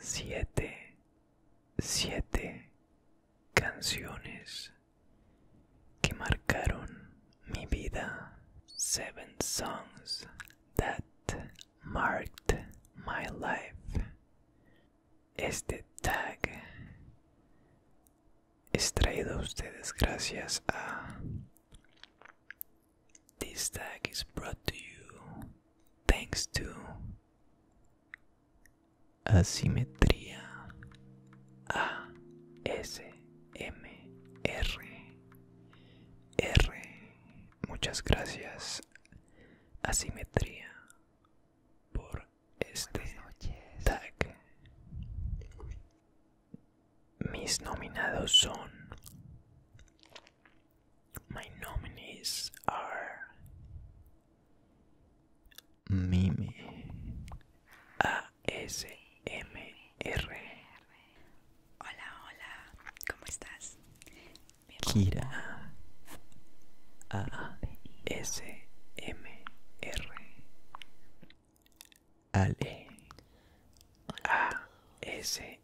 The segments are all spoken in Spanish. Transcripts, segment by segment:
Siete, siete canciones que marcaron mi vida. Seven songs that marked my life. Este tag es traído a ustedes gracias a This tag is brought to you thanks to Asimetría A S M R R Muchas gracias Asimetría por este tag. Mis nominados son My nominees are Mimi A S M r Hola, hola, ¿cómo estás? Kira A-S-M-E-R Ale. S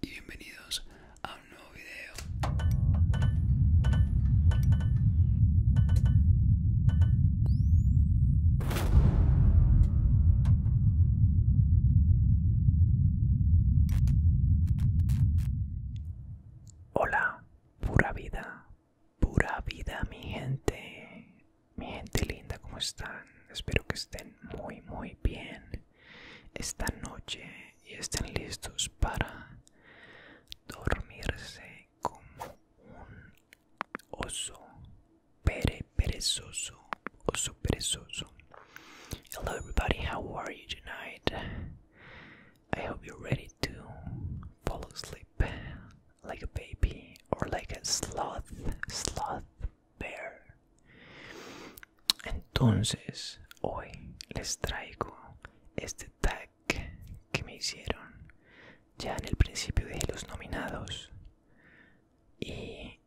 y bienvenidos a un nuevo video. Hola, pura vida, pura vida mi gente, mi gente linda, ¿cómo están? Espero que estén muy muy bien. Esta noche y estén listos para dormirse como un oso perezoso oso perezoso hello everybody how are you tonight i hope you're ready to fall asleep like a baby or like a sloth sloth bear Entonces, hoy les traigo este tag que me hicieron ya en el principio de los nominados. Y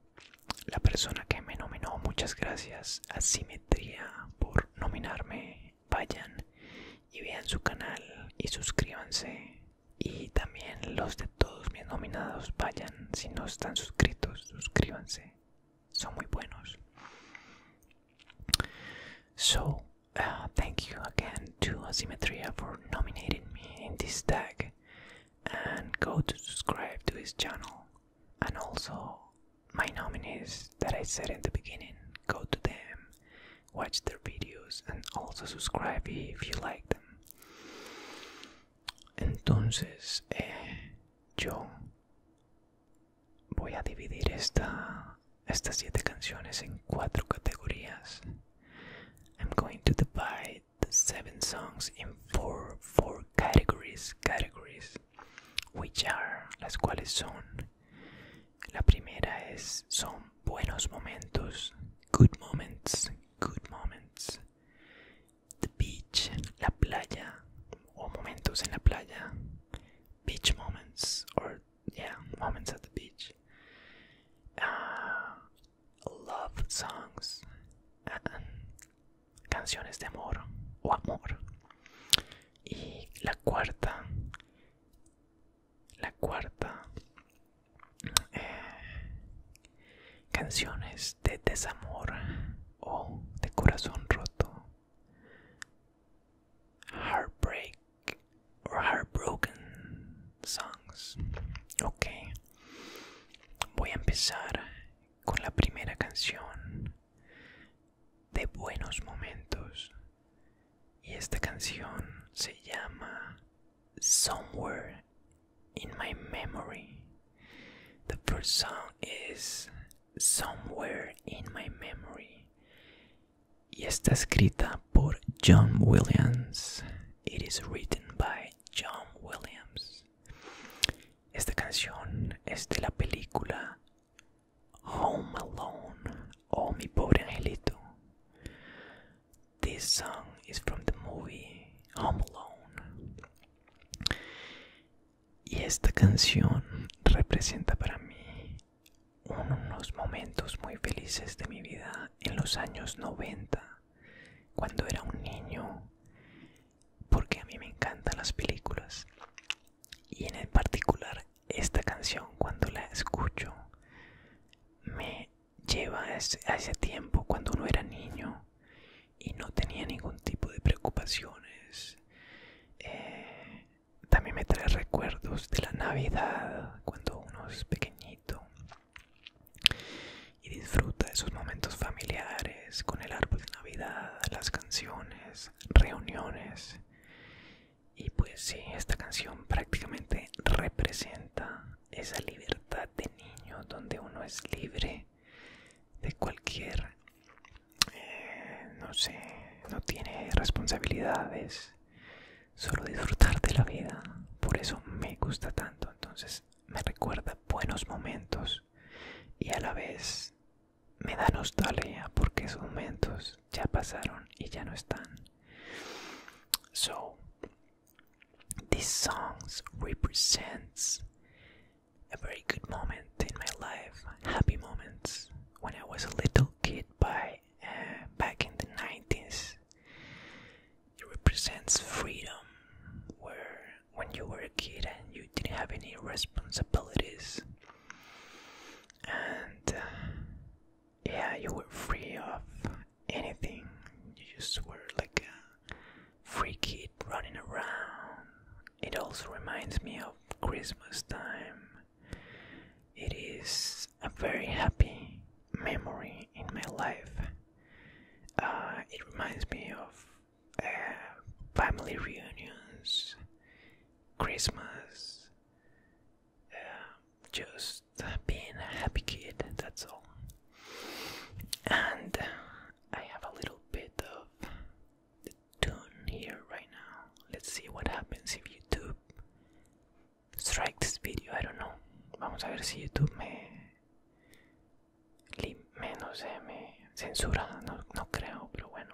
la persona que me nominó, muchas gracias, Asimetría, por nominarme. Vayan y vean su canal y suscríbanse. Y también los de todos mis nominados, vayan, si no están suscritos, suscríbanse. So, uh, thank you again to Asymmetria for nominating me in this tag. And go to subscribe to his channel. And also, my nominees that I said in the beginning, go to them, watch their videos, and also subscribe if you like them. And Entonces, eh, yo voy a dividir esta, estas siete canciones en cuatro categorías. I'm going to divide the seven songs in four, four categories, categories, which are, las cuales son, la primera es, son buenos momentos, good moments, good moments. The beach, la playa, o momentos en la playa, beach moments, or yeah, moments at the beach. Ah, love songs, canciones de amor o amor. Y la cuarta, la cuarta, eh, canciones de desamor o de corazón roto heartbreak or heartbroken songs. Ok, voy a empezar con la primera canción de Buenos Momentos. Y esta canción se llama Somewhere in My Memory. The first song is Somewhere in My Memory It is written by John Williams. Esta canción es de la película Home Alone oh, Mi Pobre Angelito. This song is from the movie Home Alone. Y esta canción representa para mí unos momentos muy felices de mi vida en los años 90, cuando era un niño, porque a mí me encantan las películas. Y en particular esta canción cuando la escucho me lleva a ese, tiempo cuando no era niño y no tenía ningún tipo de preocupaciones. Eh, también me trae recuerdos de la Navidad cuando uno es pequeñito y disfruta de sus momentos familiares con el árbol de Navidad, las canciones, reuniones. Y pues sí, esta canción prácticamente representa esa libertad de niño donde uno es libre de cualquier eh, no sé, no tiene responsabilidades, solo disfrutar de la vida. Por eso me gusta tanto, entonces me recuerda buenos momentos y a la vez me da nostalgia porque esos momentos ya pasaron y ya no están. So, these songs represents a very good moment in my life, happy moments when I was a little kid by uh, back in the 90s. It represents freedom where when you were a kid and you didn't have any responsibilities and uh, yeah, you were free of anything. You just were like a free kid running around it also reminds me of Christmas time. It is a very happy memory in my life. Uh, it reminds me of uh, family reunions, Christmas, um, just being a happy kid, that's all. And I have a little bit of the tune here right now. Let's see what happens if YouTube strike this video. I don't know. Vamos a ver si YouTube me, me no sé, me censura. No, no creo, pero bueno.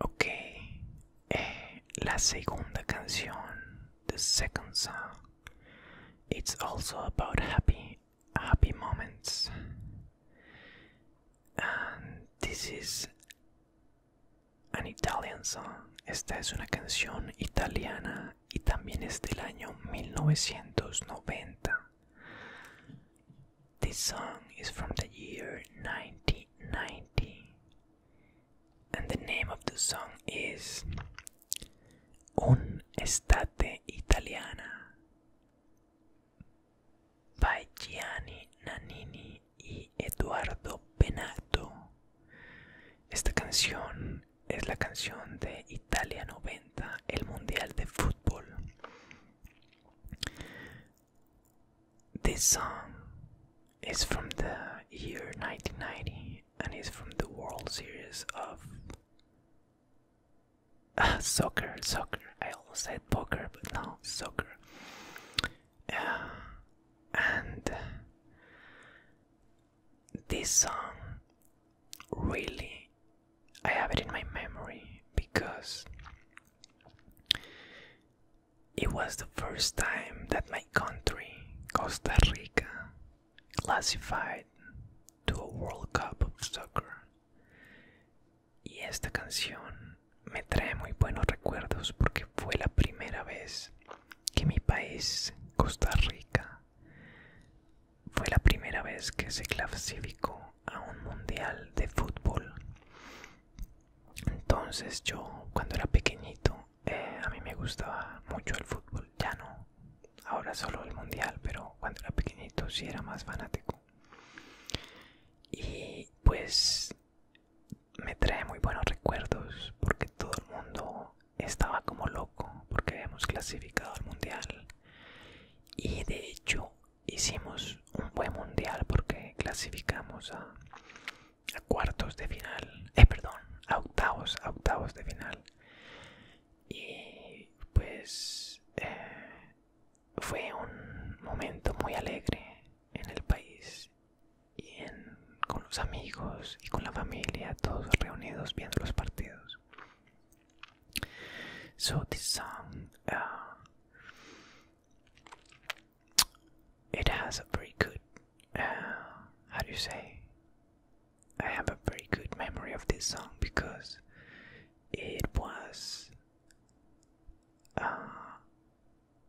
Okay, eh, la segunda canción, the second song, it's also about happy, happy moments, and this is an Italian song. Esta es una canción italiana y también es del año 1990. This song is from the year 1990, and the name of the song is Un Estate Italiana by Gianni Nannini y Eduardo Benato. Esta canción es la canción de Italia 90, el Mundial de Fútbol. This song is from the year 1990 and it's from the World Series of uh, soccer. Soccer. I almost said poker, but no, soccer. Uh, and this song really, I have it in my memory because It was the first time that my country, Costa Rica, classified to a World Cup of Soccer. Y esta canción me trae muy buenos recuerdos porque fue la primera vez que mi país, Costa Rica, fue la primera vez que se clasificó a un mundial de fútbol. Entonces yo cuando era pequeñito eh, a mí me gustaba mucho el fútbol, ya no, ahora solo el mundial, pero cuando era pequeñito sí era más fanático. Y pues me trae muy buenos recuerdos porque todo el mundo estaba como loco porque hemos clasificado al mundial. Y de hecho hicimos un buen mundial porque clasificamos a, cuartos de final, eh, perdón, a octavos, octavos de final. Y pues eh, fue un momento muy alegre en el país y con los amigos y con la familia, todos reunidos viendo los partidos. So this um, uh, it has a very good, uh, how do you say? I have a very good memory of this song because it was uh,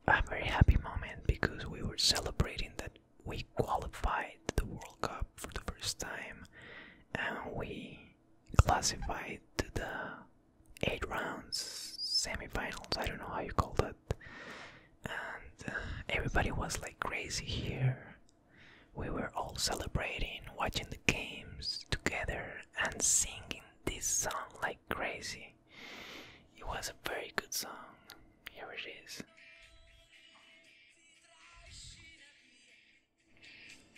a very happy moment because we were celebrating that we qualified the World Cup for the first time and we classified to the eight rounds semifinals i don't know how you call that and uh, everybody was like crazy here we were all celebrating watching the games together and singing this song like crazy it was a very good song here it is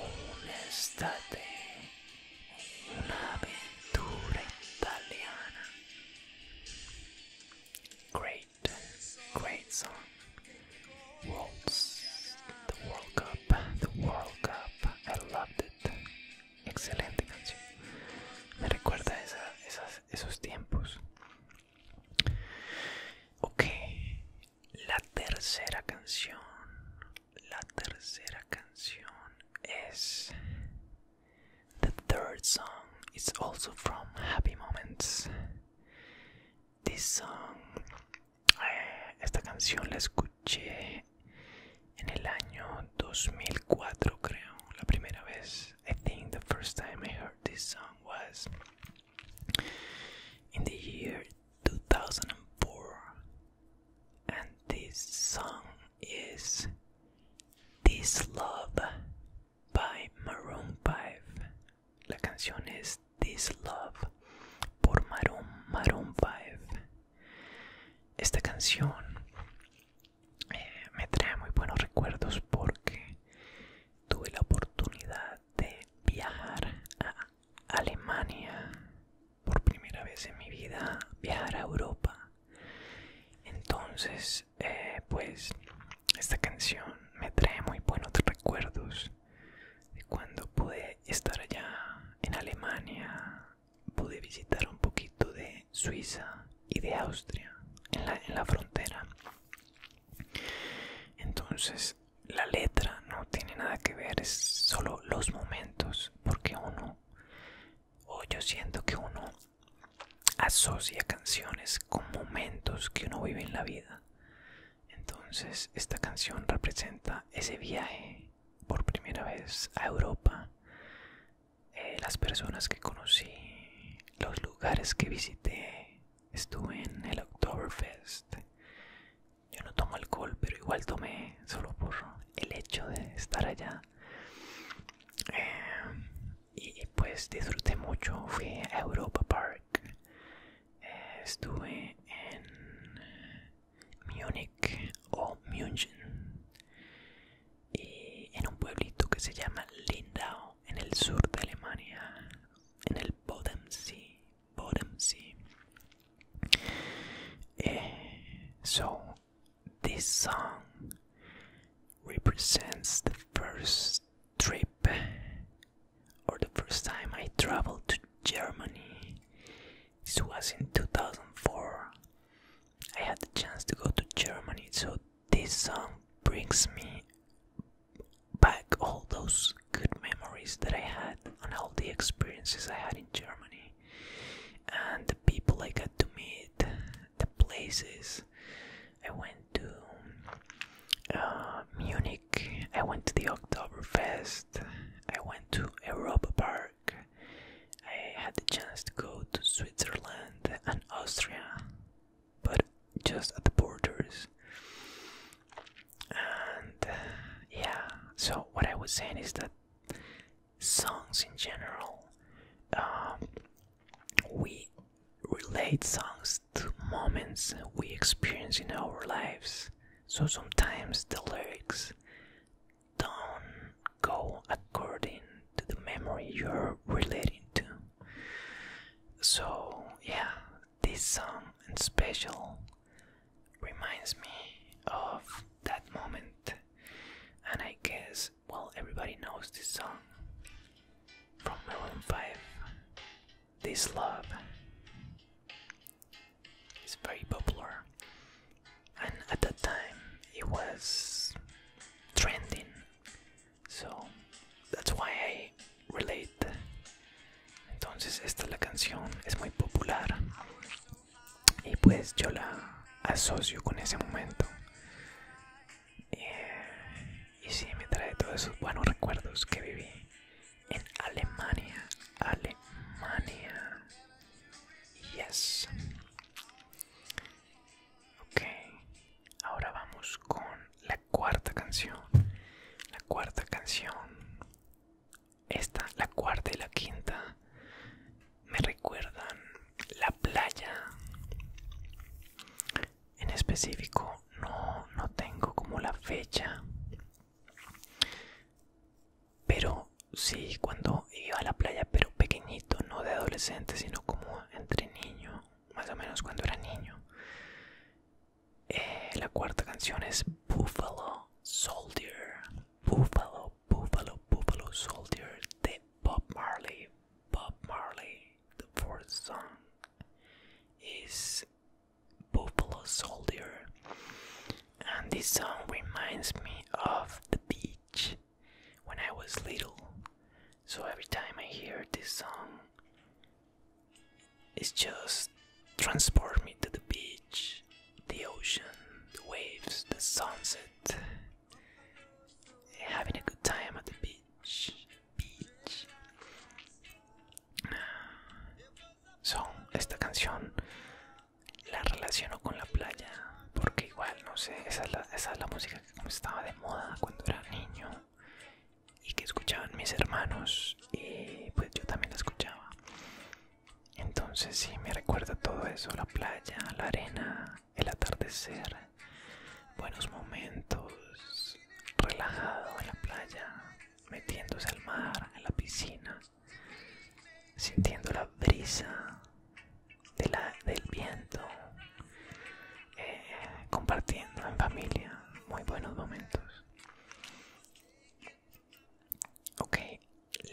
Un estate una aventura italiana. Great, great song. Worlds, the World Cup, the World Cup, I loved it. Excelente canción. Me recuerda esas, esos tiempos. Ok, la tercera canción, la tercera canción es The third song is also from Happy Moments. This song, eh, esta canción la escuché en el año 2004 creo, la primera vez. I think the first time I heard this song was in the year 2004, and this song is This Love by Maroon 5. La canción es This Love por Maroon, Maroon 5. Esta canción Eh, me trae muy buenos recuerdos porque tuve la oportunidad de viajar a Alemania por primera vez en mi vida, viajar a Europa. Entonces, eh, pues esta canción me trae muy buenos recuerdos de cuando pude estar allá en Alemania, pude visitar un poquito de Suiza y de Austria en la, frontera. Entonces, la letra no tiene nada que ver, es solo los momentos, porque uno, o yo siento que uno asocia canciones con momentos que uno vive en la vida. Entonces, esta canción representa ese viaje por primera vez a Europa eh, las personas que conocí, los lugares que visité. Estuve en el Oktoberfest. Yo no tomo alcohol, pero igual tomé solo por el hecho de estar allá. Eh, y pues disfruté mucho. Fui a Europa Park. Eh, estuve en Munich o München. In eh, a un town called Lindau, in the south of Germany, in the Bodensee. Bodensee. Eh, so this song represents the first trip or the first time I traveled to Germany. This was in 2004. I had the chance to go to Germany, so this song brings me back all those good memories that I had and all the experiences I had in Germany and the people I got to meet, the places I went to. Uh, Munich, I went to the Oktoberfest, I went to Europa Park, I had the chance to go to Switzerland and Austria, but just at the borders. And yeah, so what I was saying is that songs in general, um, we relate songs to moments we experience in our lives. So sometimes the lyrics don't go according to the memory you're relating to. So yeah, this song and special reminds me of that moment, and I guess well everybody knows this song from Maroon Five. This love is very popular, and at that time it was trending So, that's why I relate. Entonces, esta es la canción, es muy popular. Y pues yo la asocio con ese momento. Eh, y sí, me trae todos esos buenos recuerdos que viví en Alemania. Alemania. Yes. Ok, ahora vamos con la cuarta canción. La cuarta canción. Esta, la cuarta y la quinta, me recuerdan la playa. En específico, no, no tengo como la fecha. Pero sí, cuando iba a la playa, pero pequeñito, no de adolescente, sino como entre niño más o menos cuando era niño. Eh, la cuarta canción es Buffalo Soldier. Buffalo, Buffalo, Buffalo Soldier de Bob Marley. Bob Marley. The fourth song is Buffalo Soldier. And this song reminds me of the beach. when I was little. So every time I hear this song, it just transports me to the beach, the ocean, the waves, the sunset, having a good time at the beach. Beach. So, esta canción la relaciono con la playa porque igual no sé esa es la, esa es la música estaba de moda cuando era niño y que escuchaban mis hermanos y pues yo también la escuchaba entonces sí me recuerda todo eso la playa la arena el atardecer buenos momentos relajado en la playa metiéndose al mar en la piscina sintiendo la brisa de la, del viento, eh, compartiendo en familia, muy buenos momentos. Ok,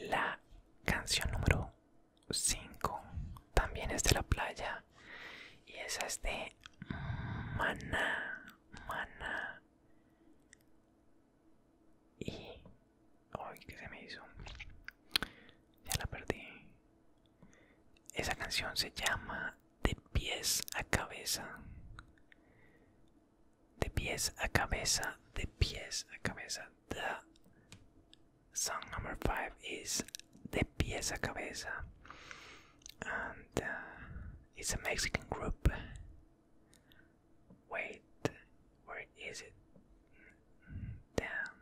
la canción número 5 también es de la playa y esa es de mana mana Y... Ay, que se me hizo ya la perdí. Esa canción se llama De pies a cabeza. De pies a cabeza, de pies a cabeza. The song number five is De pies a cabeza. And es uh, it's a Mexican group. Wait, where is it? Damn,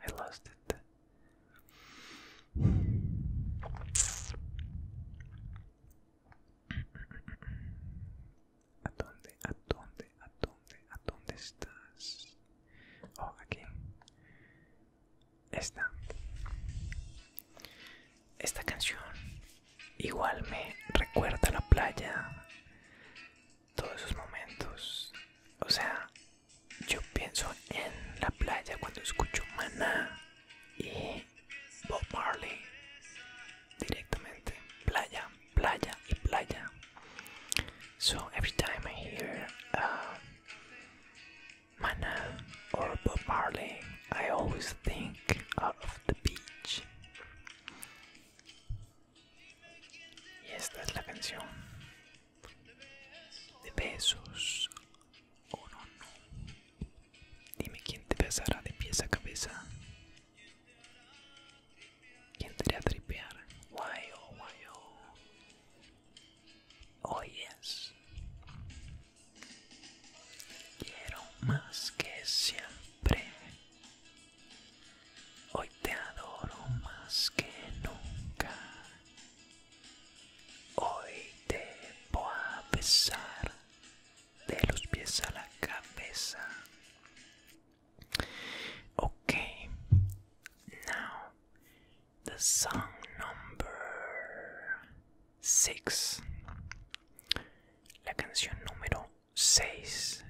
I lost ¿A dónde? ¿A dónde? ¿A dónde? ¿A dónde estás? Oh, aquí. Esta. Esta canción igual me recuerda la playa. Todos esos momentos. O sea, yo pienso en la playa cuando escucho Mana y Bob Marley directamente. Playa, playa y playa. So every time I hear Mana uh, Maná or Bob Marley, I always think out of the beach. Y esta es la canción de besos o no no dime quién te besará de pies a cabeza quién te hará tripear guay oh guay oh oh yes quiero más que siempre Hoy te adoro más que nunca. Hoy te voy a besar de los pies a la cabeza. Okay, now the song number six. La canción número 6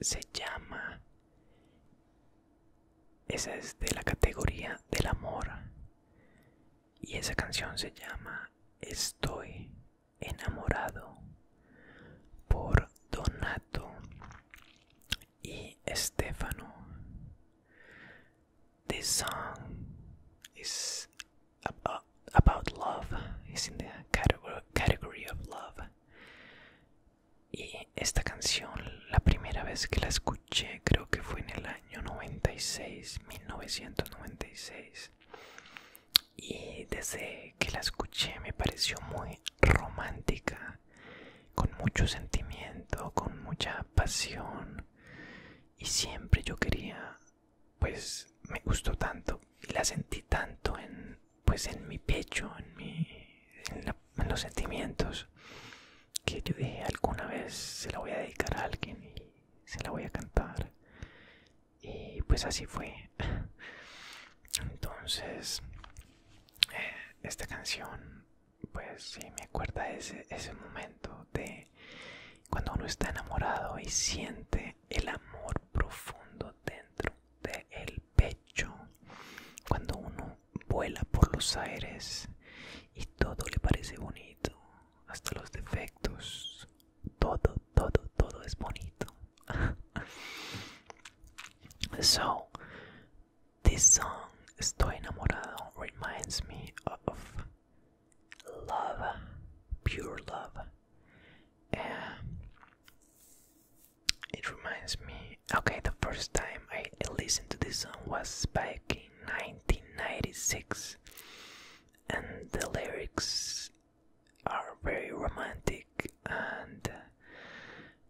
se llama esa es de la categoría del amor. Y esa canción se llama Estoy enamorado por Donato y Stefano. This song is uh, about, love. It's in the category of love. Y esta canción, la primera vez que la escuché, creo que fue en el año 96, 1996. Y desde que la escuché me pareció muy romántica, con mucho sentimiento, con mucha pasión. Y siempre yo quería, pues me gustó tanto y la sentí tanto en, pues en mi pecho, en mi en, los sentimientos que yo dije alguna vez se la voy a dedicar a alguien y se la voy a cantar y pues así fue entonces eh, esta canción pues sí me acuerda ese, ese momento de cuando uno está enamorado y siente el amor profundo dentro del pecho cuando uno vuela por los aires y todo le parece bonito, hasta los defectos. Todo, todo, todo es bonito. so, this song, Estoy enamorado, reminds me of love, pure love. it reminds me Okay, the first time I listened to this song was back in 1996, and the lyrics are very romantic. And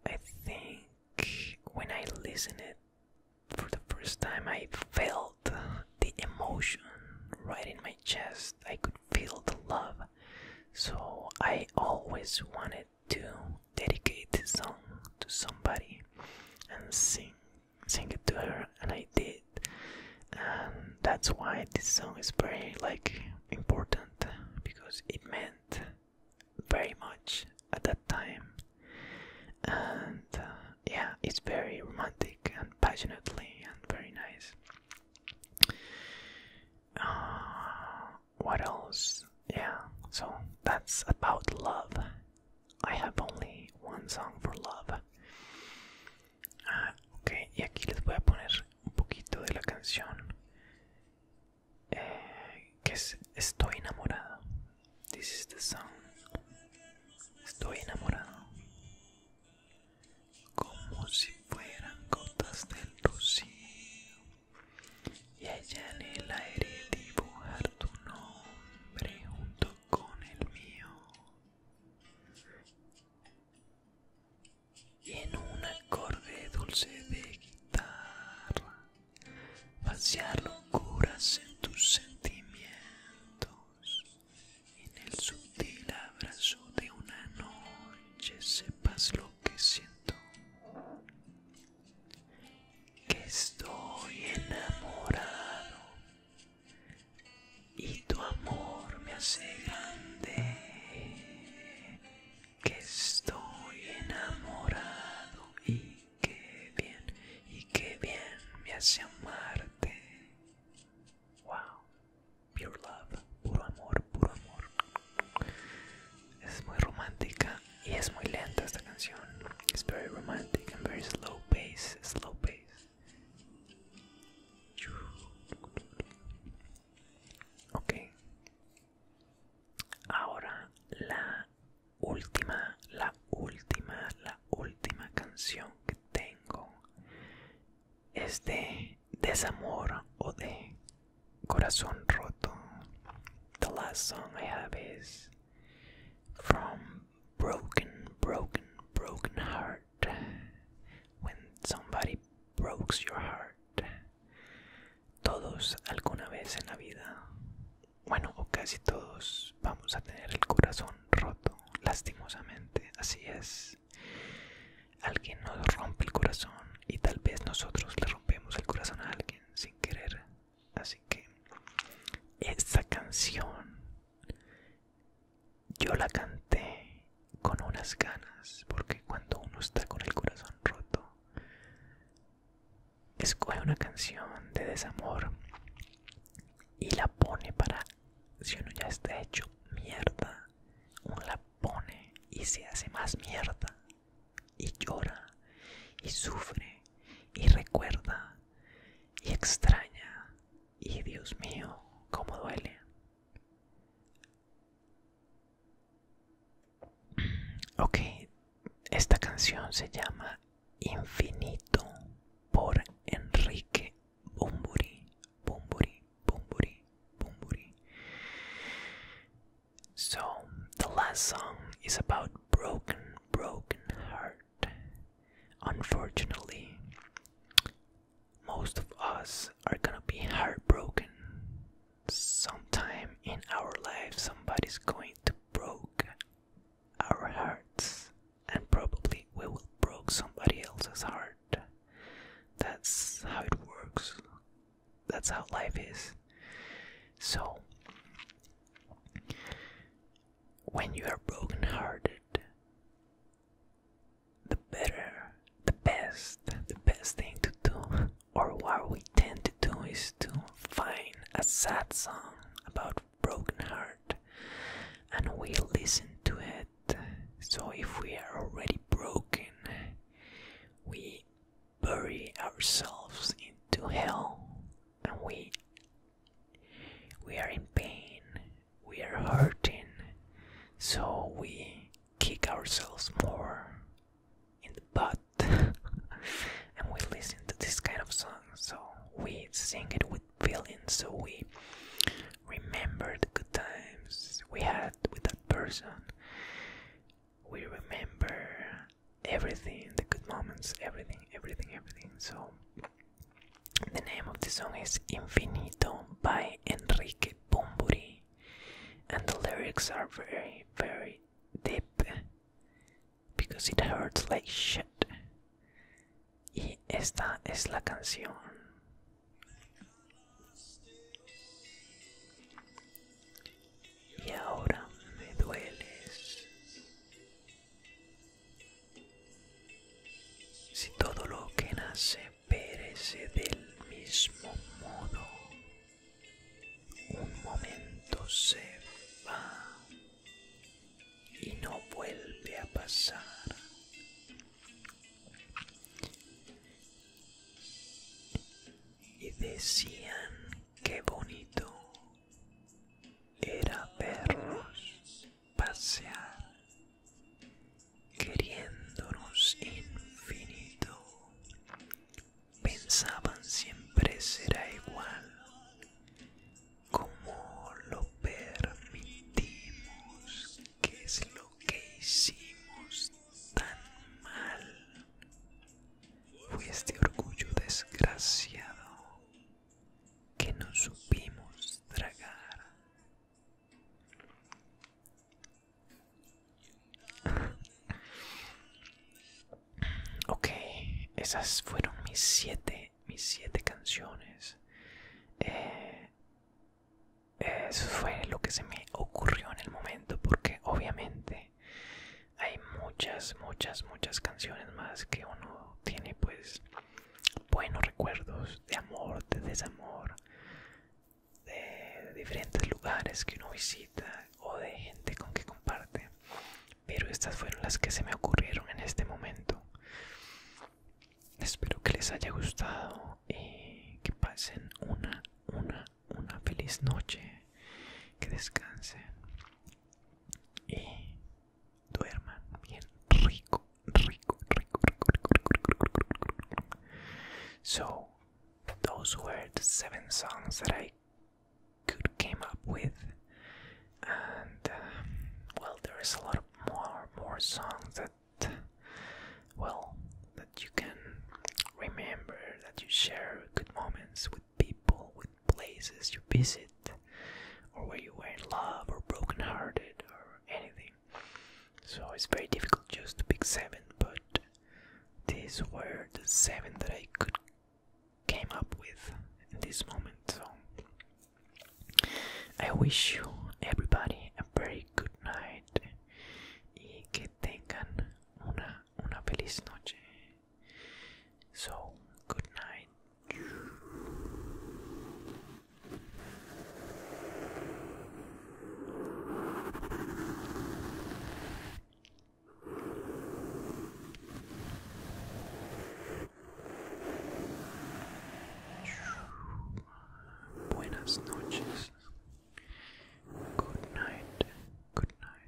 I think when I listened it for the first time, I felt the emotion right in my chest. I could feel the love, so I always wanted to dedicate this song to somebody and sing sing it to her and I did and that's why this song is very like important because it meant very much at that time and uh, yeah it's very romantic and passionately and very nice uh, what else? Yeah, so that's about love. I have only one song for love. Ah, ok, y aquí les voy a poner un poquito de la canción eh, que es Estoy enamorado. This is the song. Estoy enamorado. Como si fueran gotas del rocío y allá en el aire dibujar tu nombre junto con el mío y en un acorde dulce de guitarra pasear locuras en tus sentimientos en el sutil abrazo de una noche sepas lo que siento que estoy enamorado y tu amor me hace grande, que estoy enamorado y qué bien, y qué bien me hace amarte. Wow, pure love, puro amor, puro amor es muy romántica y es muy lenta esta canción. Es very romantic and very slow pace, slow pace. Ok. Ahora la última, la última, la última canción que tengo es de desamor o de corazón roto the last song I have is from Broken, Broken, Broken Heart. When somebody breaks your heart. Todos alguna vez en la vida, bueno, o casi todos, vamos a tener el corazón roto, lastimosamente. Así es. Alguien nos rompe el corazón y tal vez nosotros le rompemos el corazón a alguien sin querer. Así que esta canción yo la canté con unas ganas, porque cuando uno está con el corazón roto, escoge una canción de desamor y la pone para, si uno ya está hecho mierda, uno la pone y se hace más mierda y llora y sufre y recuerda y extraña y Dios mío, cómo duele. Ok, esta canción se llama Infinito por Enrique Bumburi, Bumburi, Bumburi, Bumburi. So, the last song is about broken, broken heart. Unfortunately, most of us are gonna be heartbroken. Sometime in our life, somebody's going to break our hearts, and probably we will broke somebody else's heart. That's how it works. That's how life is. So, when you are broken-hearted, the better, the best, the best thing to do, or what we tend to do, is to find a sad song about broken heart, and we listen to it. So if we are already broken, we bury ourselves into hell and we we are in pain we are hurting so we kick ourselves more in the butt and we listen to this kind of song so we sing it with feelings. so we remember the good times we had with that person we remember everything, the good moments, everything, everything, everything. So, the name of the song is Infinito by Enrique Bumburi, and the lyrics are very, very deep because it hurts like shit. Y esta es la canción. y ahora me dueles. Si todo lo que nace perece del mismo modo, un momento se va y no vuelve a pasar. Y decían, qué bonito era vernos pasear, queriéndonos infinito. Pensaban siempre será igual, como lo permitimos, ¿Qué es lo que hicimos tan mal este orgullo desgraciado que no supimos tragar. ok, esas fueron mis siete, mis siete canciones. Eh, eso fue lo que se me ocurrió en el momento porque obviamente hay muchas, muchas, muchas canciones más que uno tiene pues buenos recuerdos de amor, de desamor, de diferentes lugares que uno visita o de gente con que comparte. Pero estas fueron las que se me ocurrieron en este momento. Espero que les haya gustado y que pasen una, una, una feliz noche. Que descansen. So, those were the seven songs that I could came up with, and well, there is a lot more more songs that well that you can remember that you share good moments with people, with places you visit, or where you were in love, or broken-hearted, or anything. So it's very difficult just to pick seven, but these were the seven that I could came up with in this moment. So I wish you everybody a very good night y que tengan una una feliz noche. So, good night. Buenas noches. Good night. Good night.